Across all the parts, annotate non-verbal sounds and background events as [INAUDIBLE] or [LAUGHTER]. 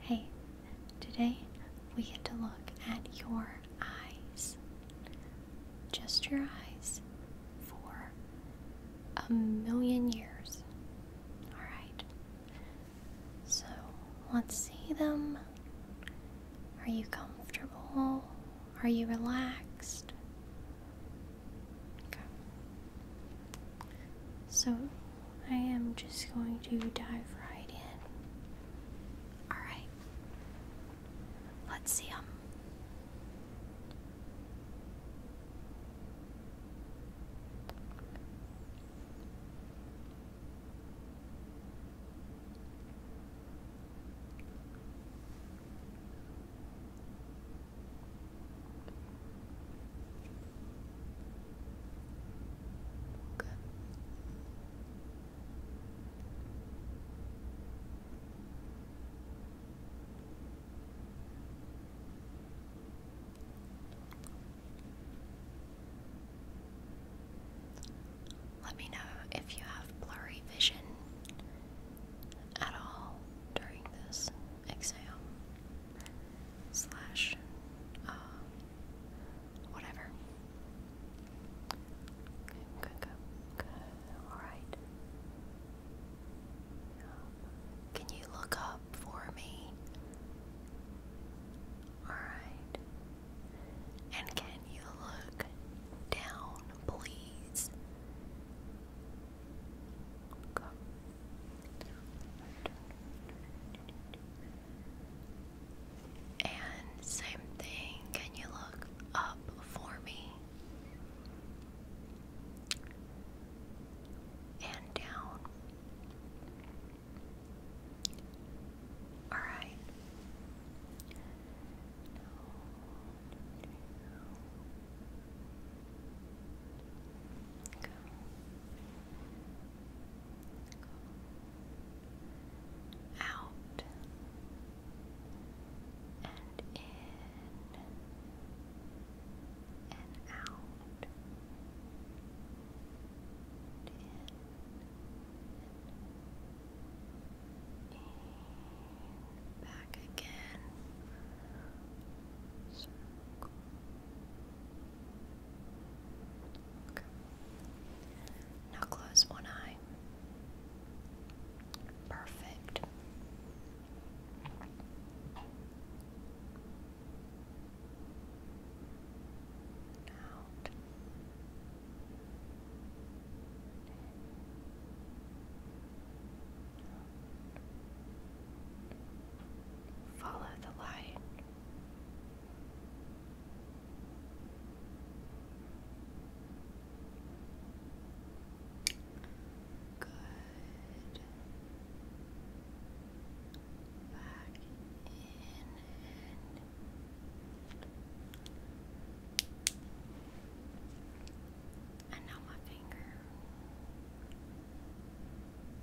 Hey, today we get to look at your eyes. Just your eyes for a million years. Alright. So let's see them. Are you comfortable? Are you relaxed? Okay. So I am just going to dive right in. Alright. Let's see them. Let me know if you have blurry vision at all during this exam slash um, Whatever. Good, good, good, good. Alright. can you look up for me? Alright. And can you look down, please? Go. And same thing, can you look up for me? And down. All right. Go out and in and out and in and back again circle now close one eye. Perfect. Now Follow the light. Good. Back in and now my finger.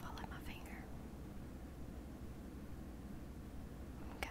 Follow my finger. Okay.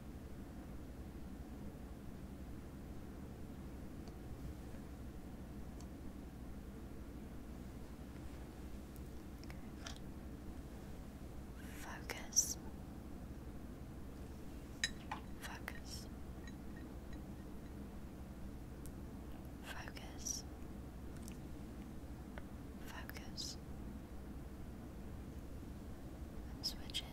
Focus. Focus. Focus. Focus. switch it.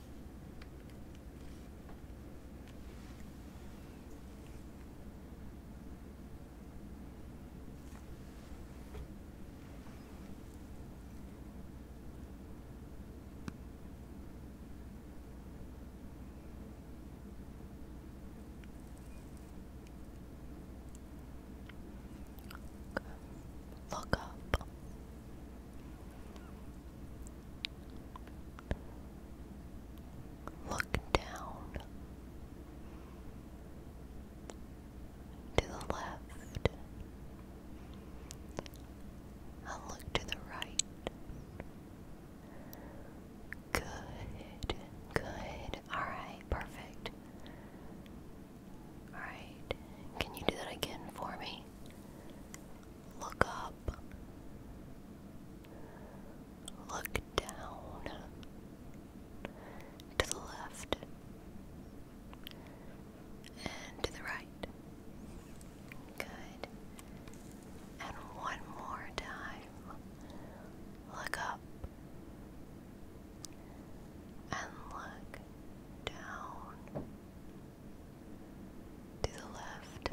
Look up. Look down to the left. i look to the right. Good, good. Alright, perfect. Alright, can you do that again for me? Look up. Look down. To the left. And to the right. Good. And one more time. Look up. And look down to the left.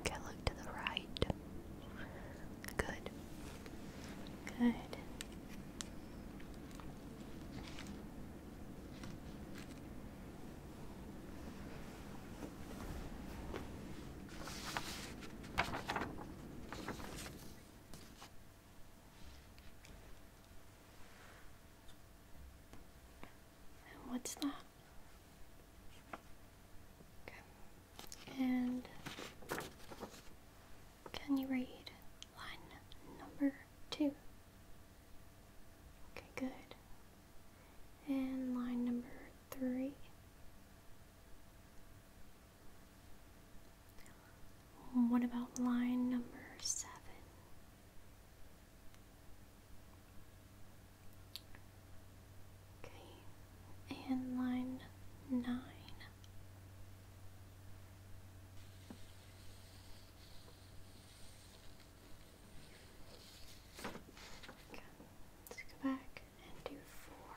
Okay, look to the right. Good. Good. And what's that? Okay. And can you read line number two? Okay, good. And line number three. What about line number seven? Okay, and line nine. let's go back and do four.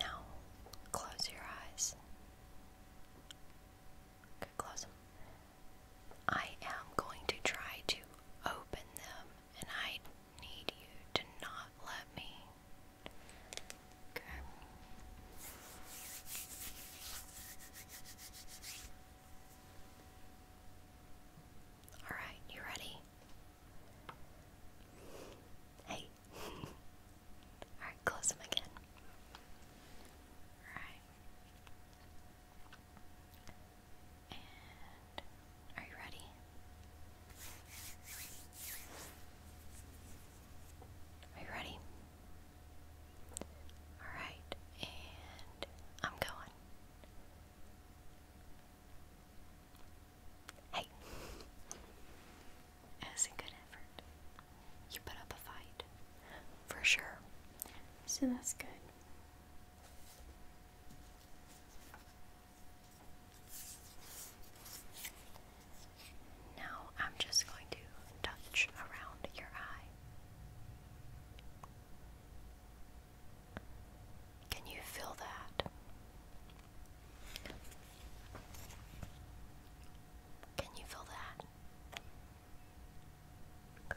Now, close your eyes. Okay, close them. I am going to try to open them, and I need you to not let me all right, you ready? Hey. [LAUGHS] All right, close them again. All right. And are you ready? Are you ready? Alright, and I'm going. Hey, that a good effort. You put up a fight, for sure. So that's good. Now I'm just going to touch around your eye. Can you feel that? Can you feel that? Go.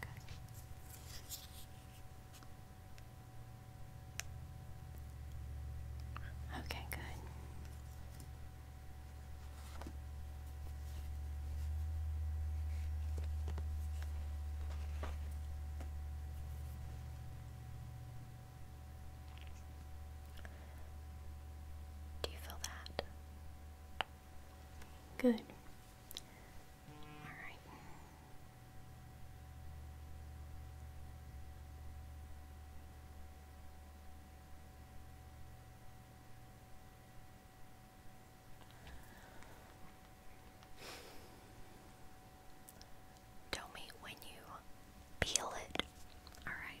Good. Okay, good. Do you feel that? Good. All right. Tell me when you peel it. All right.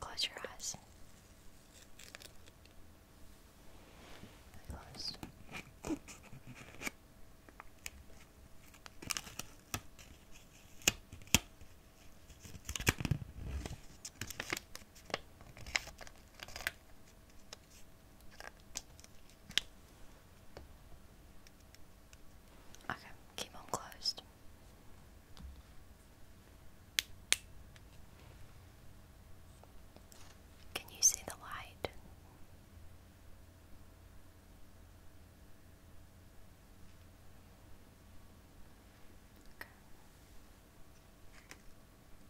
Close your eyes. Close. [LAUGHS] Okay, keep them closed. Can you see the light?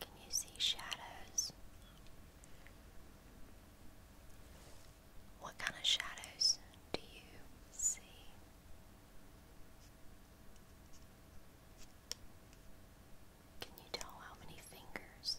Can you see shadows? What kind of shadows do you see? Can you tell how many fingers?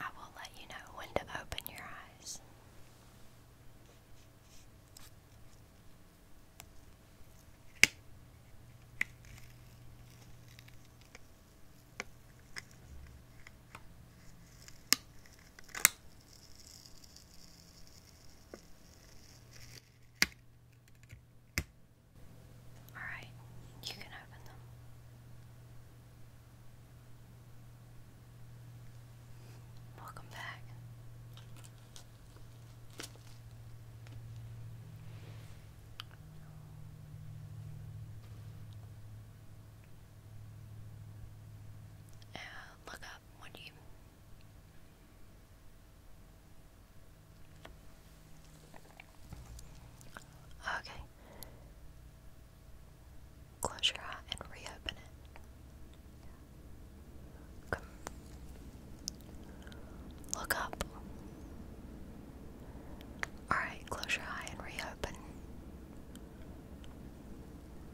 I will let you know when to open your eyes. All right, you can open them. Welcome back. Uh, look up when you Okay. Close your eye and reopen it. Look up. Alright, close your eye and reopen.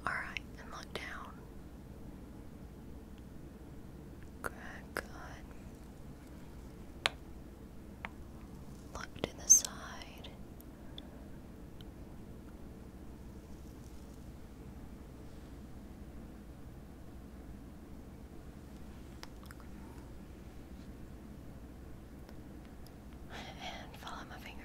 Alright, and look down. Good, good. Look to the side. And follow my finger.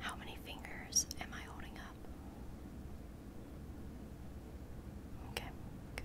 How many fingers am I holding up? Okay, good.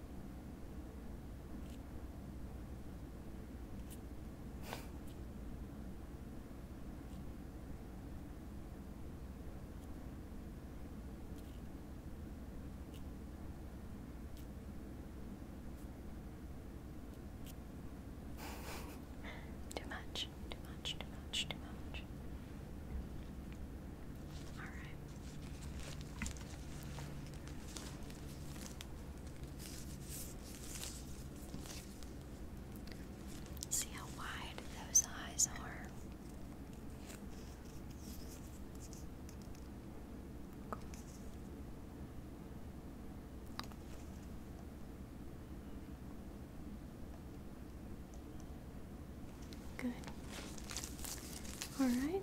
[LAUGHS] too much, too much, too much, too much. All right. See how wide those eyes are. Good. All right.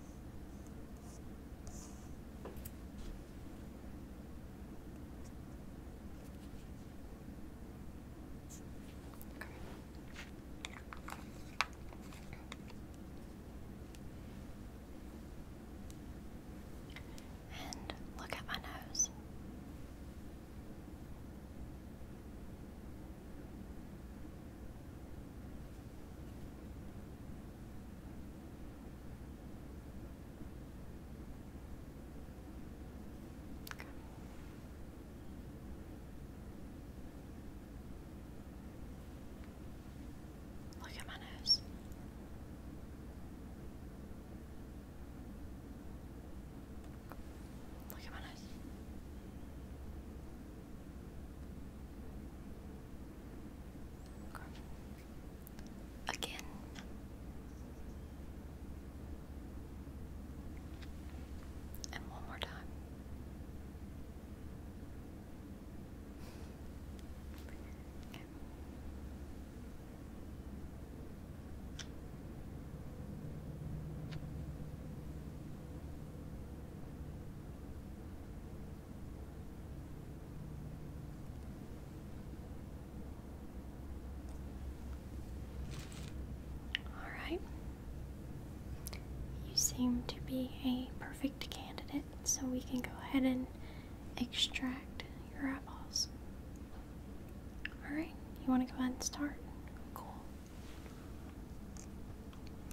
And look at my nose. Okay. Look at my nose. Look at my nose. Again. And one more time. Okay. All right. You seem to be a perfect candidate, so we can go ahead and extract your eyeballs. All right. You want to go ahead and start? Cool.